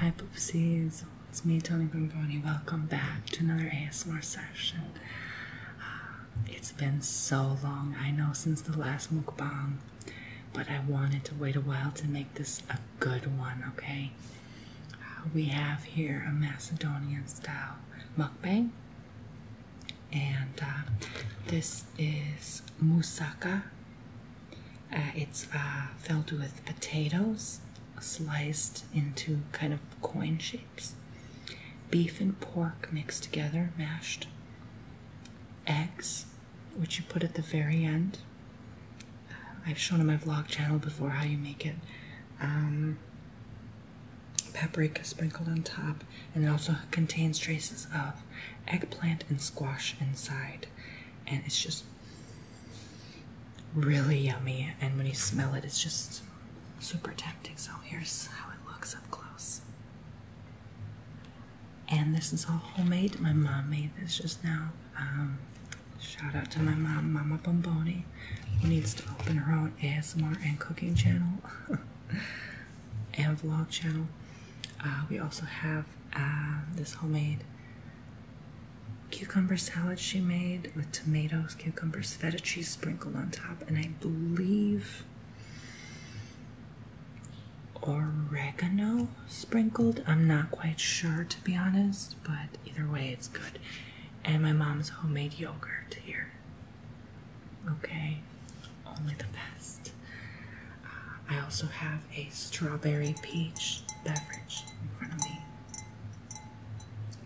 Hi poopsies, it's me Tony Bramboni. Welcome back to another ASMR session. Ah, it's been so long, I know, since the last mukbang, but I wanted to wait a while to make this a good one, okay? Ah, we have here a Macedonian style mukbang, and uh, this is moussaka uh, it's uh, filled with potatoes sliced into kind of coin shapes, beef and pork mixed together, mashed, eggs, which you put at the very end. Uh, I've shown on my vlog channel before how you make it. Um, paprika sprinkled on top, and it also contains traces of eggplant and squash inside. And it's just really yummy. And when you smell it, it's just super tempting. So here's how it looks up close. And this is all homemade. My mom made this just now. Um, shout out to my mom, Mama Bomboni, who needs to open her own ASMR and cooking channel and vlog channel. Uh, we also have um, this homemade cucumber salad she made with tomatoes, cucumbers, feta cheese sprinkled on top, and I believe oregano sprinkled. I'm not quite sure to be honest, but either way, it's good. And my mom's homemade yogurt here. Okay, only the best. Uh, I also have a strawberry peach beverage in front of me.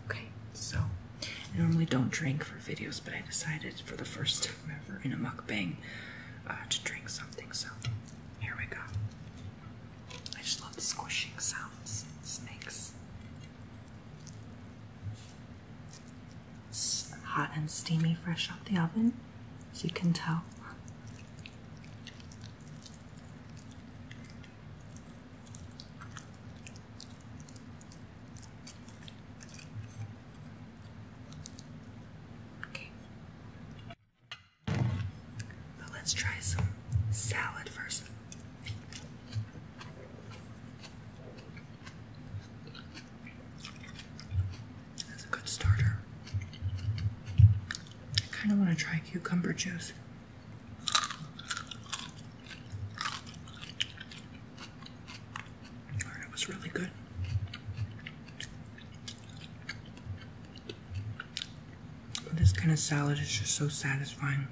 Okay, so I normally don't drink for videos, but I decided for the first time ever in a mukbang uh, to drink something. So here we go. I just love the squishing sounds this makes. hot and steamy, fresh out the oven, as you can tell. Okay. let's try some salad first. That's a good starter. I kind of want to try cucumber juice. I was really good. this kind of salad is just so satisfying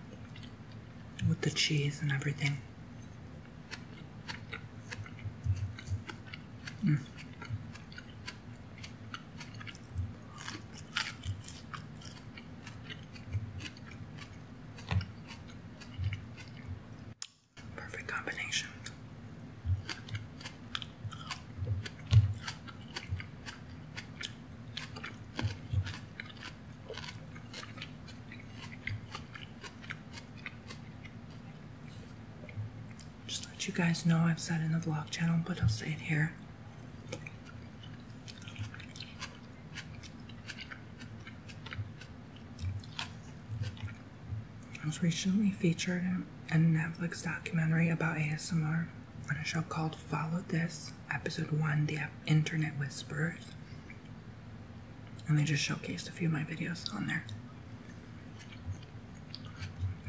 with the cheese and everything. Mm. Perfect combination. Just let you guys know I've said in the vlog channel, but I'll say it here. I was recently featured in a Netflix documentary about ASMR on a show called Follow This, Episode 1 The Internet Whispers, And they just showcased a few of my videos on there.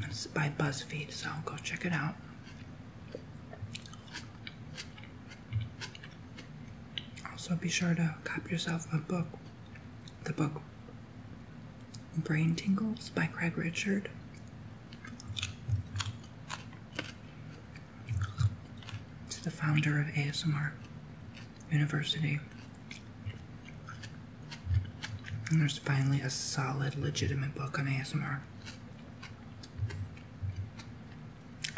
It's by BuzzFeed, so go check it out. Also, be sure to cop yourself a book. The book Brain Tingles by Craig Richard. to the founder of ASMR University. And there's finally a solid, legitimate book on ASMR.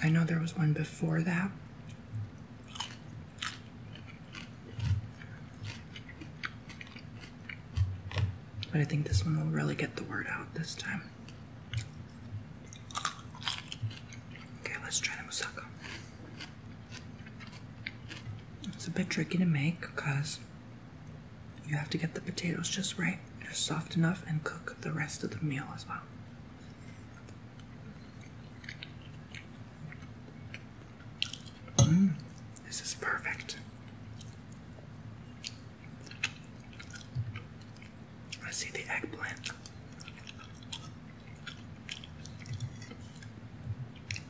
I know there was one before that. But I think this one will really get the word out this time. Okay, let's try the moussaka. It's a bit tricky to make because you have to get the potatoes just right, just soft enough, and cook the rest of the meal as well. Mm, this is perfect. I see the eggplant.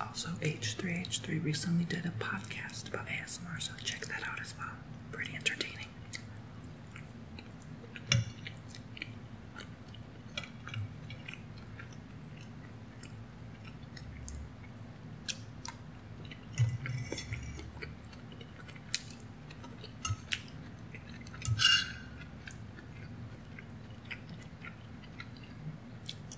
Also, H3H3 recently did a podcast about ASMR, so check that out as well. Pretty entertaining.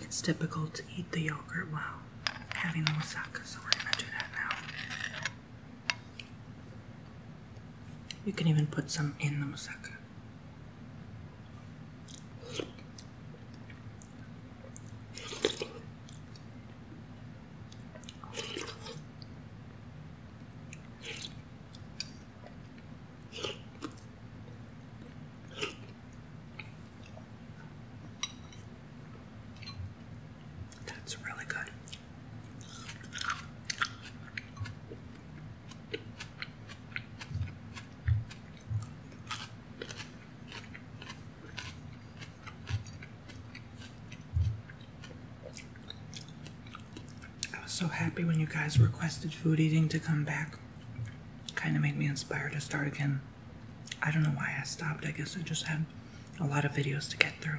It's typical to eat the yogurt while having the moussaka, so we're gonna do that now. You can even put some in the moussaka. That's really good. I was so happy when you guys requested food eating to come back. Kind of made me inspired to start again. I don't know why I stopped. I guess I just had a lot of videos to get through.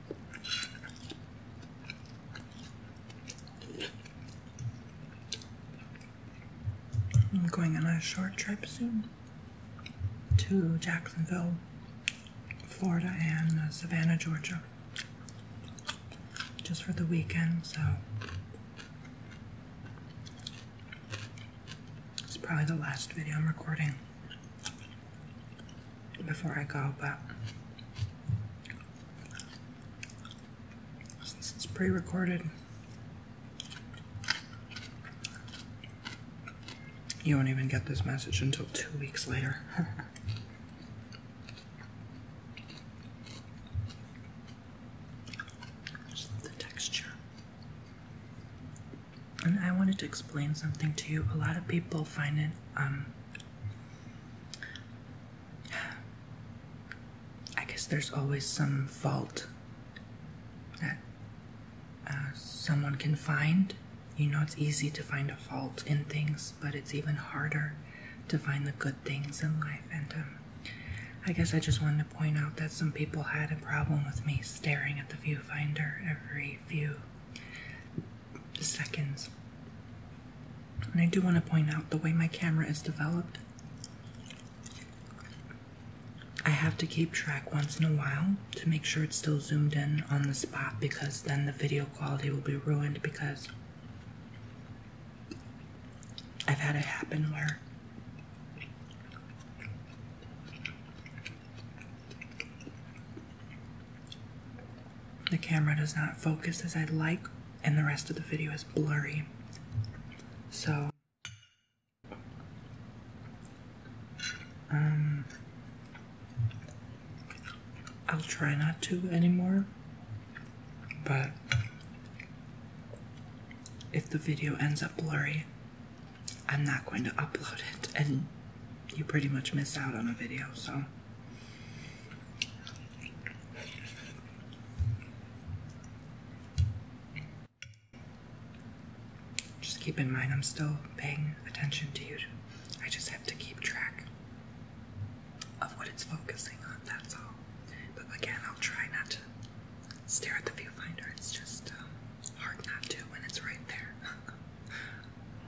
I'm going on a short trip soon to Jacksonville, Florida, and uh, Savannah, Georgia, just for the weekend. So it's probably the last video I'm recording before I go, but since it's pre recorded, you won't even get this message until two weeks later. Just love the texture. And I wanted to explain something to you. A lot of people find it um, I guess there's always some fault that uh, someone can find. You know, it's easy to find a fault in things, but it's even harder to find the good things in life. And um, I guess I just wanted to point out that some people had a problem with me staring at the viewfinder every few seconds. And I do want to point out the way my camera is developed, I have to keep track once in a while to make sure it's still zoomed in on the spot because then the video quality will be ruined because I've had it happen where the camera does not focus as i like, and the rest of the video is blurry. So, um, I'll try not to anymore, but if the video ends up blurry, I'm not going to upload it, and you pretty much miss out on a video, so just keep in mind, I'm still paying attention to you. I just have to keep track of what it's focusing on, that's all. But again, I'll try not to stare at the viewfinder. It's just um, hard not to when it's right there.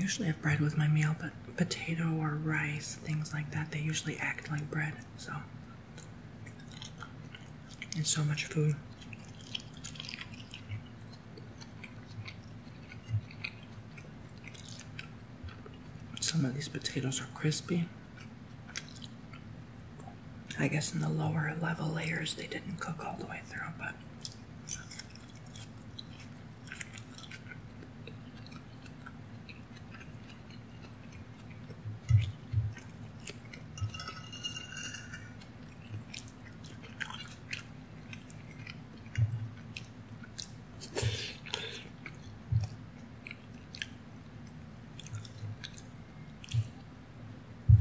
I usually have bread with my meal, but potato or rice, things like that, they usually act like bread, so and so much food. Some of these potatoes are crispy. I guess in the lower level layers they didn't cook all the way through, but.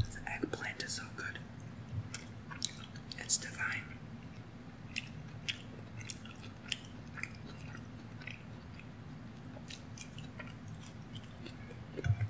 The eggplant is so good. It's divine.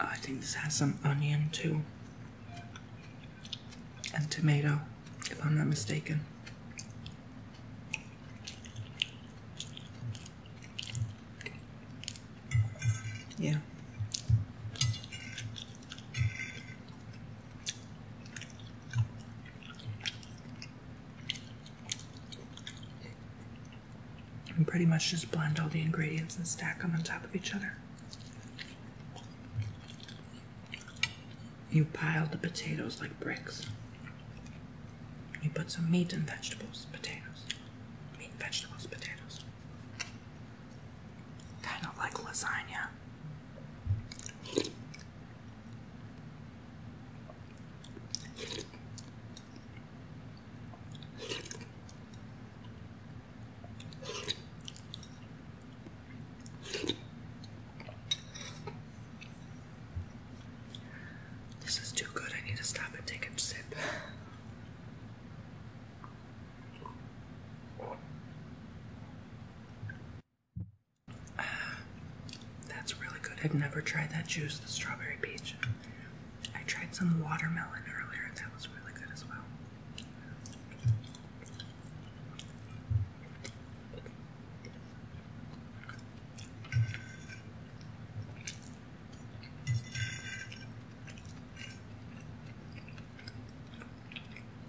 I think this has some onion too. And tomato, if I'm not mistaken. Yeah. And pretty much just blend all the ingredients and stack them on top of each other. You pile the potatoes like bricks. You put some meat and vegetables, potatoes. Meat, vegetables, potatoes. Kind of like lasagna. This is too good. I need to stop and take a sip that's really good. I've never tried that juice, the strawberry peach. I tried some watermelon earlier, that was really good as well.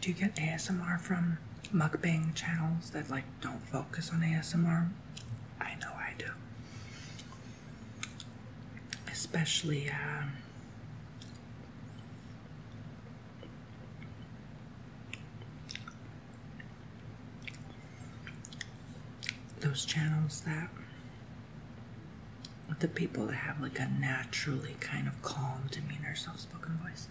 Do you get ASMR from mukbang channels that like don't focus on ASMR? I know I do. Especially um, those channels that the people that have like a naturally kind of calm demeanor, soft spoken voice.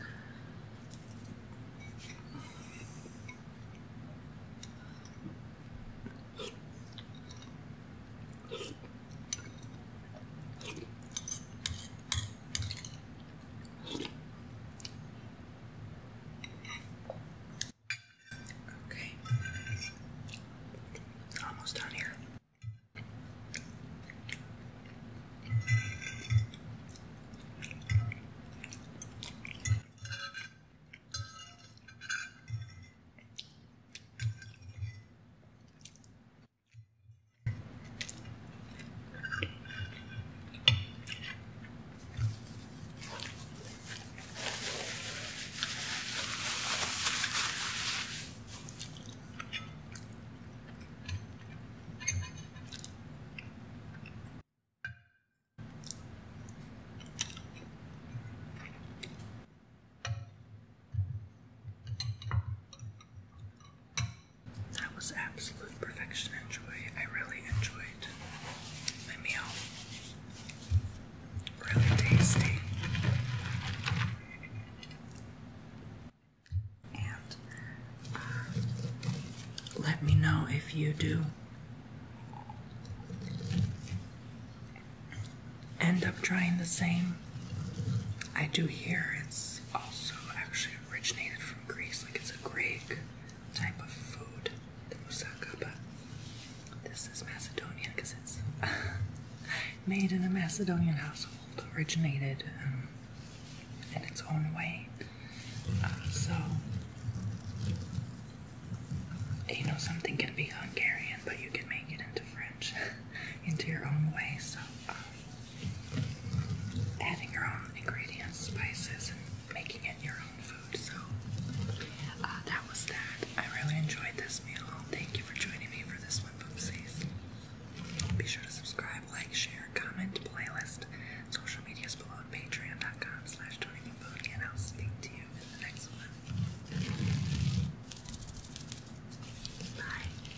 Okay. It's almost done here. That was absolutely with perfection and joy. I really enjoyed my meal. Really tasty. And uh, let me know if you do end up trying the same. I do hear it's also actually originated from Greece, like it's a Greek type of food. Lusaka, but this is Macedonian because it's made in a Macedonian household, originated um, in its own way. Uh, so, you know, something can be Hungarian, but you can make it into French, into your own way. So, um, adding your own ingredients, spices, and making it your own food. So uh, that was that. I really enjoyed this meal. Thank you for joining me for this one, Boopsies. Be sure to subscribe, like, share, comment, playlist, social medias below patreon.com slash and I'll speak to you in the next one. Bye.